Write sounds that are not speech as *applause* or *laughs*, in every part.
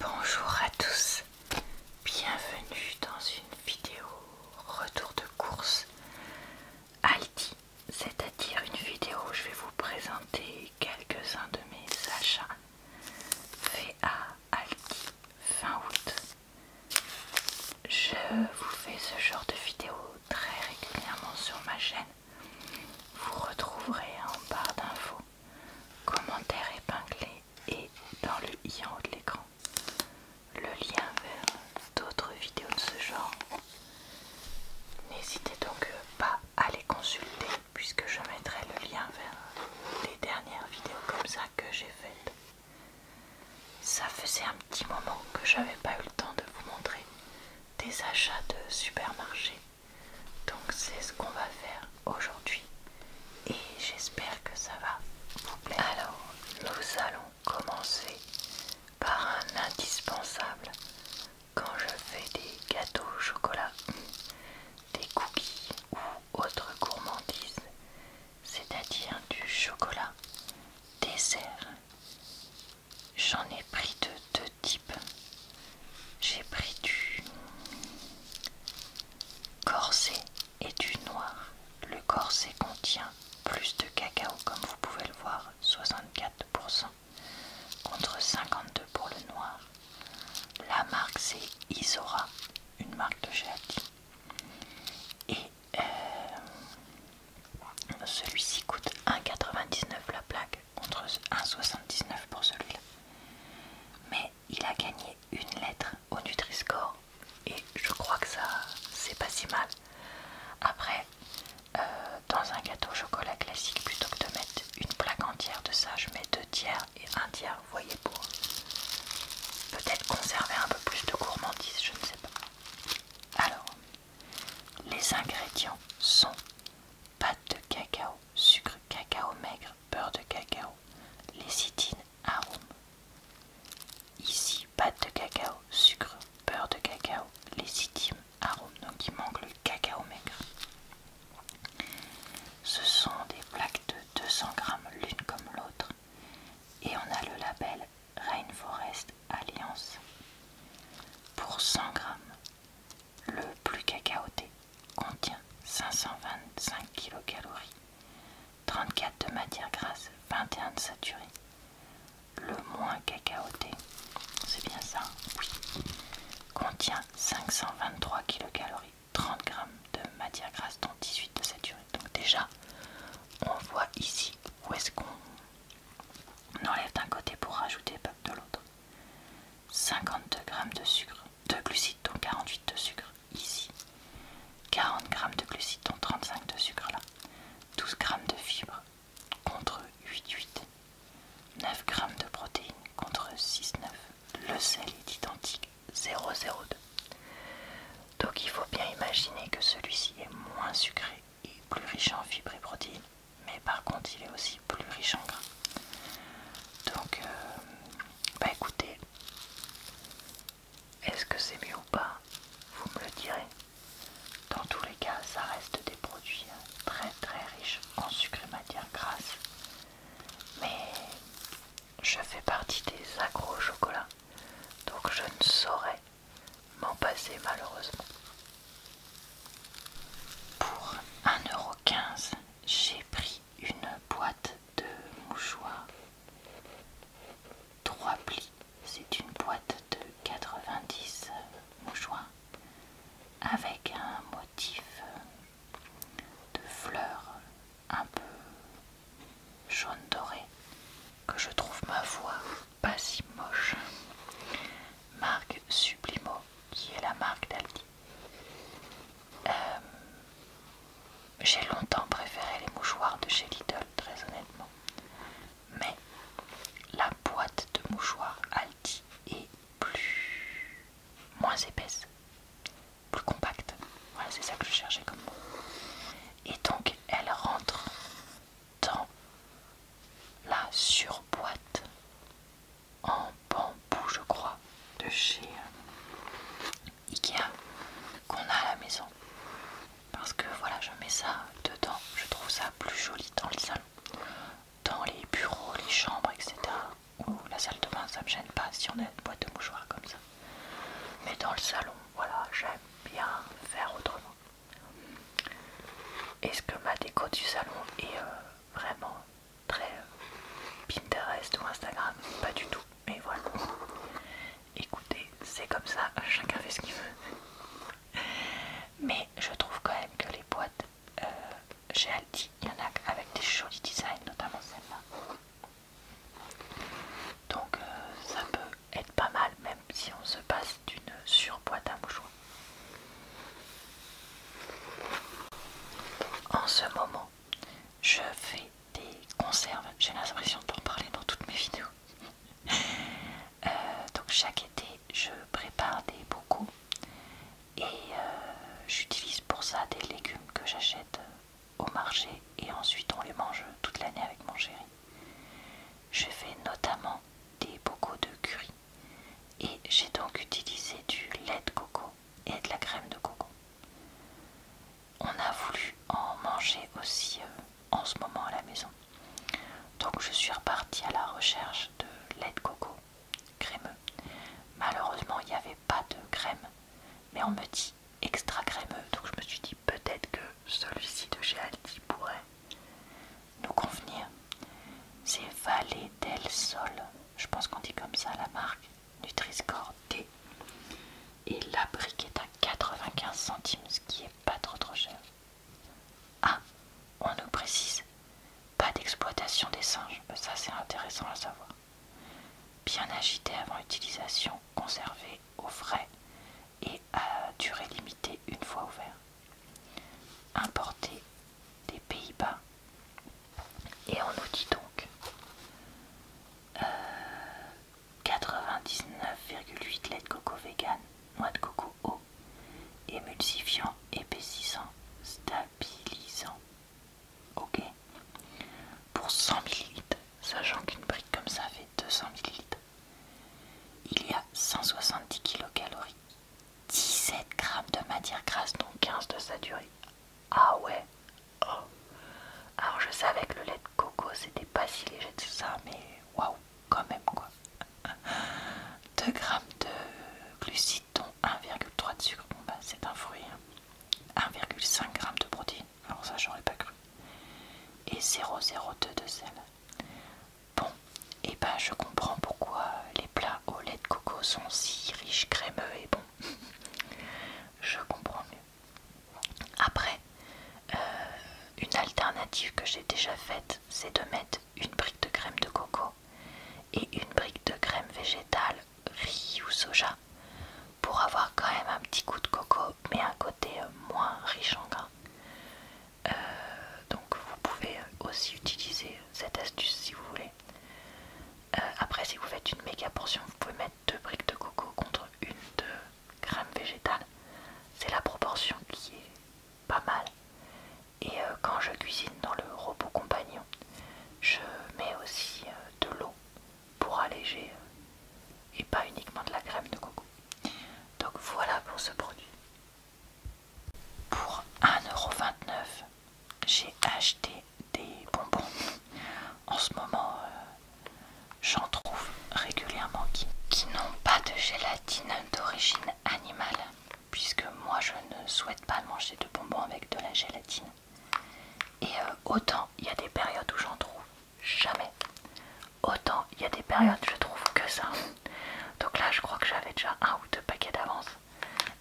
Bonjour à tous, bienvenue dans une vidéo retour de course Aldi, c'est-à-dire une vidéo où je vais vous présenter quelques-uns de mes achats faits à Aldi fin août. Je vous fais ce genre de vidéo très régulièrement sur ma chaîne. Vous retrouverez en barre d'infos commentaire épinglé et dans le i en haut de l'écran le lien vers d'autres vidéos de ce genre. N'hésitez donc pas à les consulter puisque je mettrai le lien vers les dernières vidéos comme ça que j'ai faites. Ça faisait un petit moment que j'avais pas eu le temps de vous montrer des achats de supermarché donc c'est ce qu'on va faire aujourd'hui et j'espère que ça va vous plaire. Alors nous allons commencer par un indispensable quand je fais des gâteaux au chocolat, des cookies ou autre gourmandise, c'est-à-dire du chocolat dessert. J'en ai pris de deux type, j'ai pris du corset et du noir. Le corset contient plus de cacao, comme vous pouvez le voir, 64% contre 52 pour le noir. La marque c'est Isora, une marque de chez Et euh, celui-ci coûte 1,99 la plaque contre 1,79 pour celui-là. Mais il a gagné une lettre au Nutri-Score et je crois que ça c'est pas si mal. Après, euh, dans un gâteau chocolat classique, plutôt que de mettre une plaque entière de ça, je mets deux tiers et un tiers, vous voyez, pour peut-être conserver un peu plus de gourmandise, je ne sais pas. Alors, les ingrédients sont pâte de cacao, sucre cacao maigre, beurre de cacao, lécithine, arôme. Ici, pâte de cacao, sucre, beurre de cacao, lécithine, arôme. Donc il manque le cacao maigre. Ce sont des plaques de 200 grammes l'une comme l'autre. Et on a le label Rainforest Alliance. Pour 100 grammes le plus cacaoté contient 525 kcal, 34 de matière grasse, 21 de saturé. Le moins cacaoté, c'est bien ça, contient 523 kcal, 30 g de matière grasse, dont 18 de saturé. Donc déjà, on voit ici où est-ce qu'on enlève d'un côté pour rajouter de l'autre. 52 g de sucre, de glucides dont 48 de sucre ici, 40 g de glucides dont 35 de sucre là, 12 g de fibres contre 8,8, 9 g de protéines contre 6,9. Le sel est identique 0,02. Donc il faut bien imaginer que celui-ci est moins sucré et plus riche en fibres et protéines mais par contre il est aussi plus riche en gras. Donc, euh, bah écoutez, est-ce que c'est mieux ou pas Vous me le direz. Dans tous les cas, ça reste des produits hein, très très riches en sucre et matière grasse. Mais je fais partie des agro donc je ne saurais m'en passer malheureusement. Pour 1,15€, j'ai pris une boîte de mouchoirs. 3 plis, c'est une boîte de 90 mouchoirs avec un motif de fleurs un peu jaune doré que je trouve ma voix pas si moche. Marque Sublimo, qui est la marque d'Aldi. Euh, j'ai longtemps préféré les mouchoirs de chez Lidl, très honnêtement. Mais la boîte de mouchoirs Aldi est plus... moins épaisse, plus compacte. Voilà, c'est ça que je cherchais comme mot. Et donc, elle rentre dans la surboîte en bambou, je crois, de chez euh, Ikea qu'on a à la maison. Parce que voilà, je mets ça dedans, je trouve ça plus joli dans le salon, dans les bureaux, les chambres, etc. Ou la salle de bain, ça me gêne pas si on a une boîte de mouchoirs comme ça. Mais dans le salon, voilà, j'aime bien faire autrement. Est-ce que ma déco du salon est euh, vraiment très euh, Pinterest ou Instagram Pas du tout, mais voilà. Écoutez, c'est comme ça, chacun fait ce qu'il veut. Mais je trouve quand même que les boîtes euh, chez il y en a avec des jolis designs, notamment celle-là. Donc ça peut être pas mal, même si on se passe d'une surboîte à mouchoirs. En ce moment, je fais des conserves. J'ai l'impression d'en parler dans toutes mes vidéos. Euh, donc chaque été, je prépare des bocaux et euh, j'utilise pour ça des légumes que j'achète au marché et ensuite on les mange toute l'année avec mon chéri. Je fais notamment des bocaux de curry et j'ai donc utilisé du lait de coco et de la crème de coco. On a voulu en manger aussi euh, en ce moment à la maison. Donc je suis repartie à la recherche de lait de coco crémeux. Malheureusement il n'y avait pas de crème, mais on me dit extra crémeux, donc je me suis dit peut-être que celui-ci de chez pourrait nous convenir. C'est Valé del Sol, je pense qu'on dit comme ça la marque, Nutri-Score D. Et la brique est à 95 centimes, ce qui est pas trop trop cher. Ah, on nous précise, pas d'exploitation des singes, euh, ça c'est intéressant à savoir. Bien agité avant utilisation, conserver au frais et à durée limitée une fois ouvert. Importé des Pays-Bas. Et on nous dit donc 99,8 euh, lait de coco vegan, noix de coco eau, émulsifiant, épaississant, stabilisant. Ok. Pour 100 ml, sachant qu'une brique comme ça fait 200 ml. Il y a 170 kcal, 17 g de matière grasse, dont 15 de saturée. Ah ouais oh. Alors je savais que le lait de coco c'était pas si léger tout ça, mais waouh, quand même quoi. 2 g de glucides, dont 1,3 de sucre. Bon bah c'est un fruit. 1,5 hein. g de protéines. Alors ça j'aurais pas cru. Et 0,02 de sel. Bon, et eh ben je comprends pourquoi les plats au lait de coco sont si riches, crémeux et bon *laughs* je comprends mieux. Après, euh, une alternative que j'ai déjà faite, c'est de mettre une brique de crème de coco et une brique de crème végétale, riz ou soja, pour avoir quand même un petit coup de coco, mais un côté moins riche en gras. Euh, donc vous pouvez aussi utiliser cette astuce si vous voulez. Euh, après si vous faites une méga portion, vous pouvez mettre deux briques de coco contre une de crème végétale. C'est la proportion qui est pas mal. Et euh, quand je cuisine dans le robot compagnon, je mets aussi de l'eau pour alléger euh, et pas uniquement de la crème de coco. Donc voilà pour ce produit. Pour 1,29€, j'ai acheté des bonbons. En ce moment, euh, j'en trouve régulièrement qui, n'ont pas de gélatine d'origine animale, puisque moi je ne souhaite pas manger de bonbons avec de la gélatine. Et euh, autant il y a des périodes où j'en trouve jamais. Autant il y a des périodes, je trouve que ça. Donc là, je crois que j'avais déjà un ou deux paquets d'avance.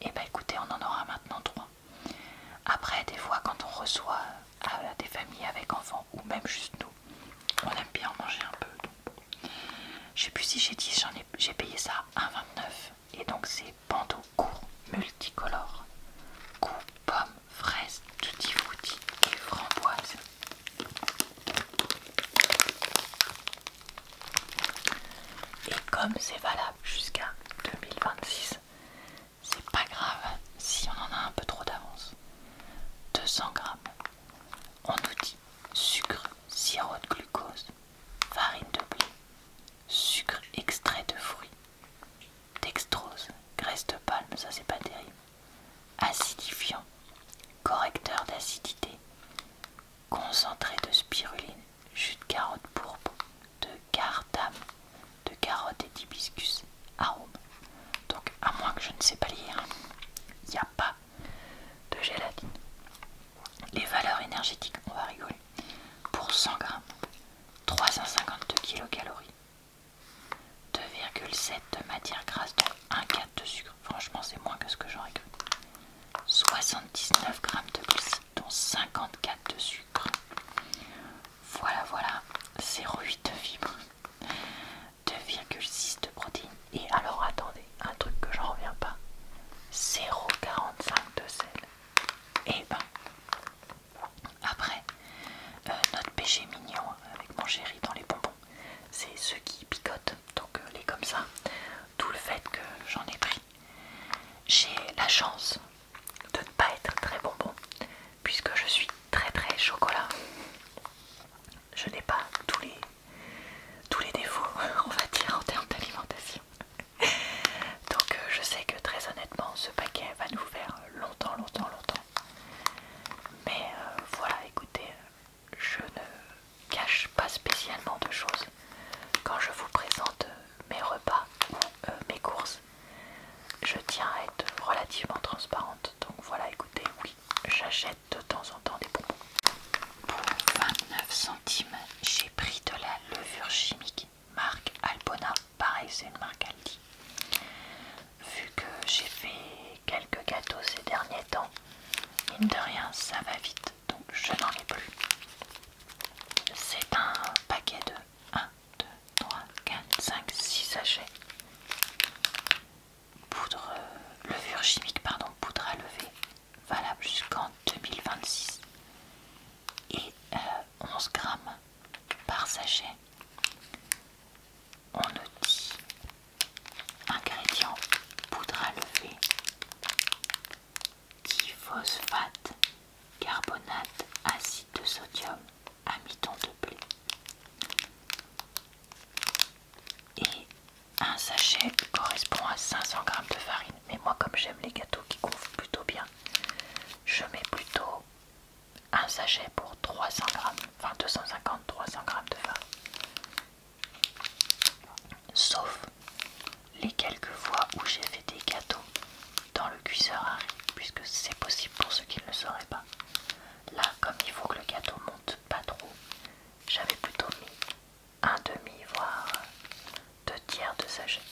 Et eh bah ben, écoutez, on en aura maintenant trois. Après, des fois, quand on reçoit euh, des familles avec enfants ou même juste nous, on aime bien manger un peu. Je sais plus si j'ai dit, j'en ai j'ai payé ça 1,29 et donc c'est bandeau court multicolore pommes, fraises, tutti frutti et framboises. Et comme c'est valable jusqu'à 2026, c'est pas grave si on en a un peu trop d'avance. 200 grammes. On nous sucre, sirop de glucose, farine de blé, sucre extrait de fruits, dextrose, graisse de palme, ça c'est pas terrible, acidifiant, correcteur d'acidité, concentré de spiruline, jus de carotte pourpre, de cardam, de carotte et d'hibiscus, arôme. Donc à moins que je ne sais pas lire, il n'y a pas de gélatine. Les valeurs énergétiques, on va rigoler. Pour 100 grammes, 352 kcal 2,7 de matière grasse, donc 1,4 de sucre. Franchement, c'est moins que ce que j'aurais cru. 79 g de glucides, dont 54 de sucre. Voilà, voilà. 0,8 de fibres, 2,6 de protéines. Et alors, attendez, un truc que j'en reviens pas. 0,45 de sel. Eh ben, après, euh, notre péché mignon avec mon chéri dans les bonbons, c'est ceux qui picotent, donc euh, les comme ça, tout le fait que j'en ai pris. J'ai la chance de ne pas être très bonbon, puisque je suis très très chocolat. Je n'ai pas tous les, tous les défauts, *laughs* on va dire, en termes d'alimentation. *laughs* Donc euh, je sais que très honnêtement, ce paquet va nous faire longtemps, longtemps, longtemps. Mais euh, voilà, écoutez, je ne cache pas spécialement de choses quand je vous présente mes repas ou euh, mes courses. Je tiens à être relativement transparente. Donc voilà, écoutez, oui, j'achète de temps en temps des bonbons. Pour 29 centimes, j'ai pris de la levure chimique marque Alpona, pareil c'est une marque Aldi. Vu que j'ai fait quelques gâteaux ces derniers temps, mine de rien ça va vite, donc je n'en ai plus. C'est un paquet de 1, 2, 3, 4, 5, 6 sachets. Poudre, euh, levure chimique, pardon, poudre à lever, valable jusqu'en 2026. Et euh, 11 grammes par sachet. On nous dit ingrédients poudre à lever, diphosphate, carbonate, acide de sodium, amidon de blé et un sachet correspond à 500 g de farine mais moi comme j'aime les gâteaux qui gonflent plutôt bien je mets plutôt un sachet pour 300 grammes, enfin 250 300 g de vin. Sauf les quelques fois où j'ai fait des gâteaux dans le cuiseur à riz, puisque c'est possible pour ceux qui ne le sauraient pas. Là, comme il faut que le gâteau monte pas trop, j'avais plutôt mis un demi, voire deux tiers de sachet.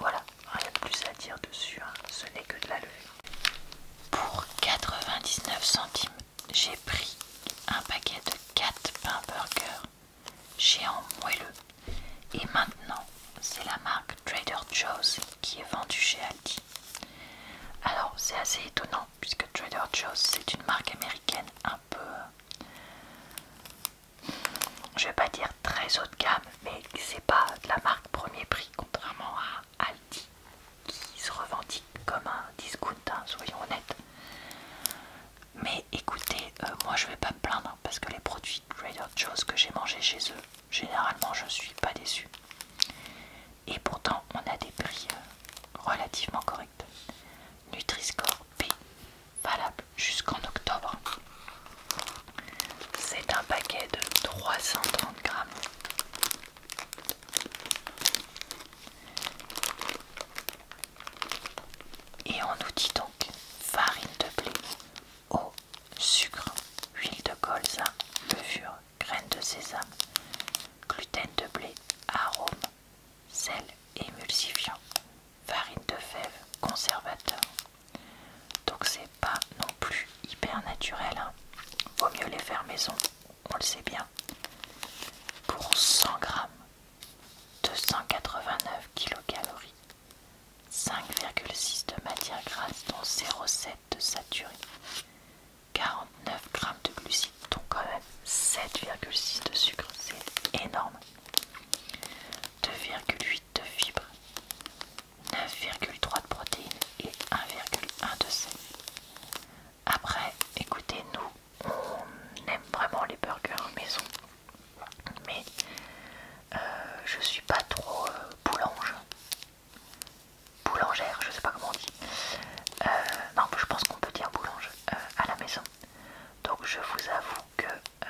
Voilà, rien de plus à dire dessus, hein. ce n'est que de la levée. Pour 99 centimes, j'ai pris un paquet de 4 pains burger en moelleux. Et maintenant, c'est la marque Trader Joe's qui est vendue chez Aldi. Alors, c'est assez étonnant puisque Trader Joe's, c'est une marque américaine un peu je vais pas dire très haut de gamme, mais c'est pas de la marque premier prix, contrairement à Aldi qui se revendique comme un discount, hein, soyons honnêtes. Mais écoutez, euh, moi je vais pas me plaindre hein, parce que les produits Trader Joe's que j'ai mangé chez eux, généralement je suis pas déçu. Et pourtant, on a des prix euh, relativement corrects. Nutri-Score P, valable jusqu'en octobre. C'est un paquet de 330 grammes. Et on nous dit donc farine de blé, eau, sucre, huile de colza, levure, graines de sésame, gluten de blé, arôme, sel émulsifiant, farine de fèves conservateur. Donc c'est pas non plus hyper naturel. Hein. Vaut mieux les faire maison, on le sait bien. Pour 100 g 289 kcal, 5,6 de matière grasse dont 0,7 de saturé, 49 g de glucides dont quand même 7,6 de sucre, c'est énorme. 2,8 de fibres, 9,3 de protéines et 1,1 de sel. Après, écoutez, nous, on aime vraiment les burgers maison, mais euh, je suis pas trop euh, boulange, boulangère, je sais pas comment on dit. Euh, non, je pense qu'on peut dire boulange à la maison. Donc je vous avoue que euh,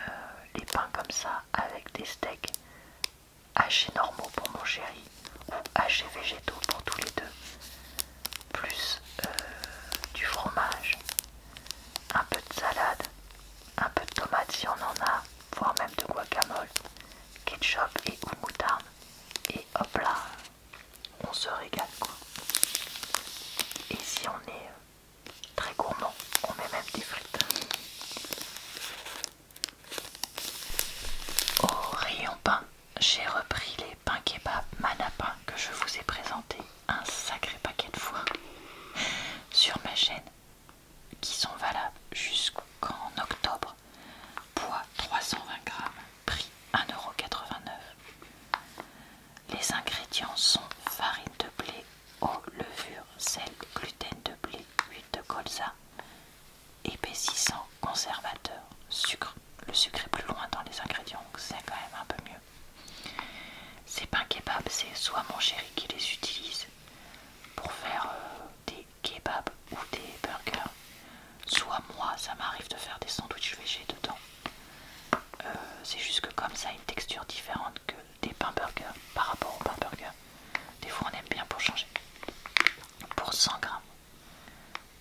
les pains comme ça avec des steaks hachés normaux pour mon chéri ou hachés végétaux pour tous les deux, plus euh, du fromage, un peu de salade, un peu de tomate si on en a, voire même de guacamole, ketchup et ou moutarde, et hop là, on se régale quoi. Et si on est euh, très gourmand, on met même des frites. Au rayon pain, j'ai repris les pains kebab manapin que je vous ai présentés un sacré paquet de fois sur ma chaîne qui sont valables jusqu'en octobre. Poids 320 grammes prix 1,89€. Les ingrédients sont farine de blé, eau, levure, sel, gluten de blé, huile de colza, épaississant, conservateur, sucre. Le sucre est plus loin dans les ingrédients, donc c'est quand même un peu mieux. Ces pains kebab, c'est soit mon chéri qui les utilise pour faire euh, des kebabs ou des burgers, soit moi ça m'arrive de faire des sandwichs végés dedans euh, c'est juste que comme ça une texture différente que des pains burgers par rapport aux pain burgers des fois on aime bien pour changer pour 100 grammes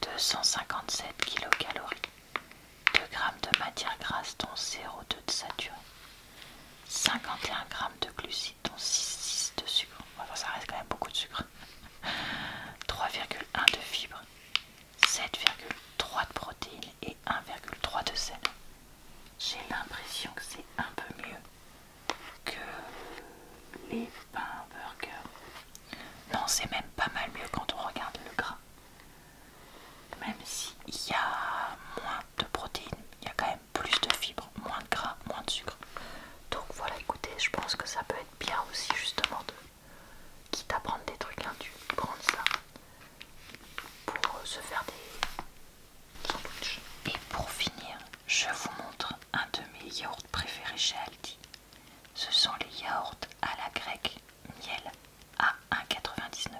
257 kcal, 2 g de matière grasse dont 0,2 de saturé 51 g de glucides dont 6,6 de sucre enfin ça reste quand même beaucoup de sucre 3,1 *laughs* de fibres 7,3 de protéines et 1,3 de sel. J'ai l'impression que c'est un peu mieux que les pains burgers. Non, c'est même pas mal mieux quand on regarde le gras. Même s'il y a moins de protéines, il y a quand même plus de fibres, moins de gras, moins de sucre. Donc voilà, écoutez, je pense que ça peut être bien aussi justement quitte à prendre des trucs tu prends ça pour euh, se faire des sandwichs. Et pour finir, je vous montre un de mes yaourts préférés chez Aldi. Ce sont les yaourts à la grecque miel à 1,99.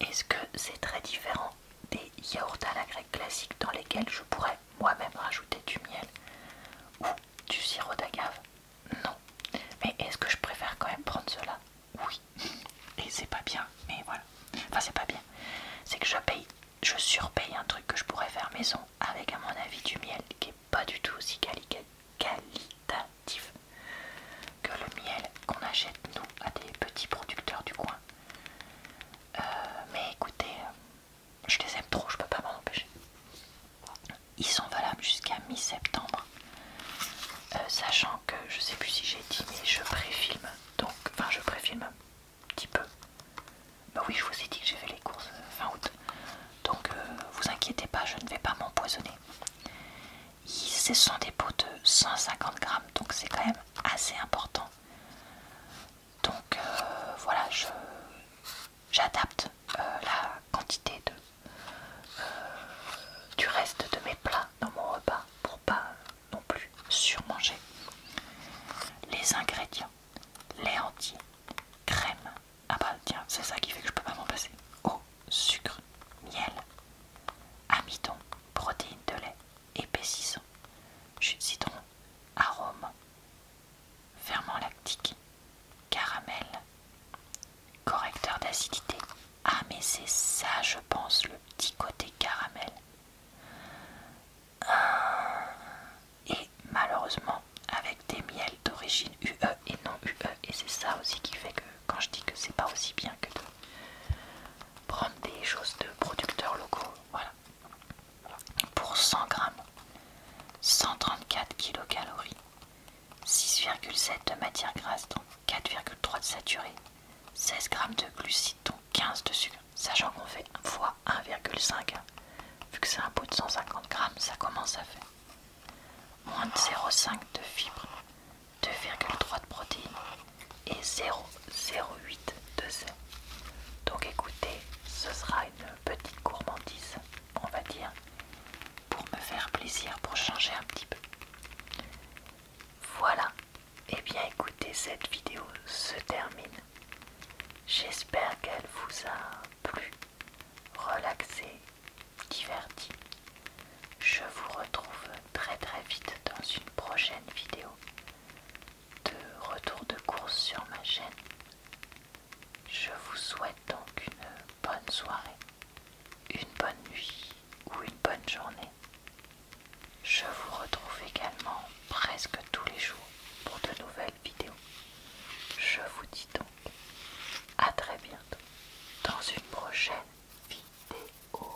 Est-ce que c'est très différent des yaourts à la grecque classiques dans lesquels je pourrais moi-même rajouter du miel du sirop d'agave Non. Mais est-ce que je préfère quand même prendre cela Oui. *laughs* Et c'est pas bien, mais voilà. Enfin, c'est pas bien. C'est que je paye, je surpaye un truc que je pourrais faire maison avec, à mon avis, du miel qui est pas du tout aussi qualitatif que le miel qu'on achète nous à des petits producteurs du coin. Euh, mais écoutez, je les aime trop, je peux pas m'en empêcher. Ils sont valables jusqu'à mi-septembre, euh, sachant que je sais plus si j'ai dit, mais je préfilme, donc, enfin, je préfilme un petit peu. Bah oui, je vous ai dit que j'ai fait les courses euh, fin août, donc euh, vous inquiétez pas, je ne vais pas m'empoisonner. Ce sont des pots de 150 grammes, donc c'est quand même assez important. Donc voilà, je j'adapte euh, la quantité de, euh, du reste de mes plats dans mon repas pour pas non plus surmanger. Les ingrédients, lait entier, crème, ah bah tiens c'est ça qui fait que je peux pas m'en passer, eau, sucre, miel, amidon, protéines de lait, épaississant, citron, arôme ferment lactique, caramel, correcteur d'acidité. Ah mais c'est ça je pense, le petit côté caramel. Ah, et malheureusement avec des miels d'origine UE et non UE. Et c'est ça aussi qui fait que quand je dis que c'est pas aussi bien que de prendre des choses de producteurs locaux, voilà pour 100 grammes, 134 kcal, 6,7 de matière grasse, donc 4,3 de saturé, 16 g de glucides, donc 15 de sucre, sachant qu'on fait fois 1,5, hein. vu que c'est un pot de 150 grammes, ça commence à faire moins de 0,5 de fibres, 2,3 de protéines et 0,08 de sel. Donc écoutez, ce sera une petite gourmandise, on va dire, pour me faire plaisir, pour changer un petit peu. Voilà, et eh bien écoutez, cette vidéo se termine. J'espère qu'elle vous a plu, relaxé, diverti. Je vous retrouve très très vite dans une prochaine vidéo de retour de course sur ma chaîne. Je vous souhaite donc une bonne soirée, une bonne nuit ou une bonne journée. Je vous retrouve également presque tous les jours pour de nouvelles vidéos. Je vous dis donc à très bientôt dans une prochaine vidéo.